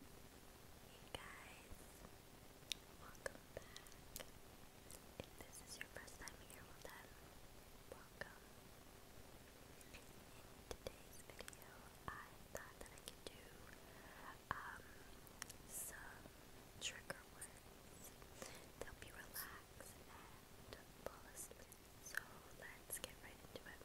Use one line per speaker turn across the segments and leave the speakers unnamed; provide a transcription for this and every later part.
Hey guys, welcome back. If this is your first time here, welcome. In today's video, I thought that I could do um, some trigger words to help you relax and fall asleep. So let's get right into it.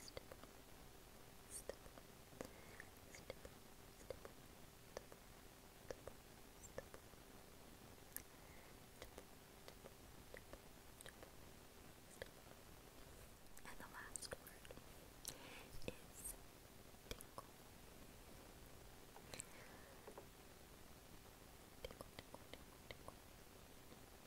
step one, And the last word is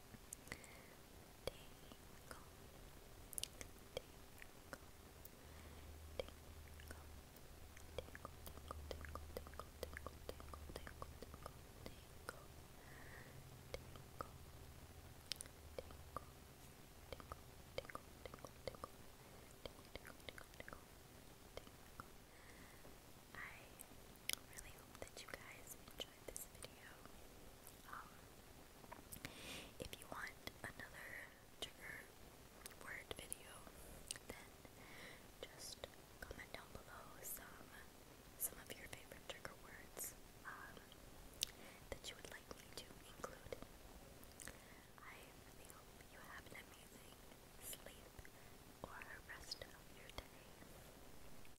Tinkle, I really hope that you guys enjoyed this video. Um, if you want another trigger word video, then just comment down below some some of your favorite trigger words um, that you would like me to include.
I really hope you have an amazing sleep or rest of your day.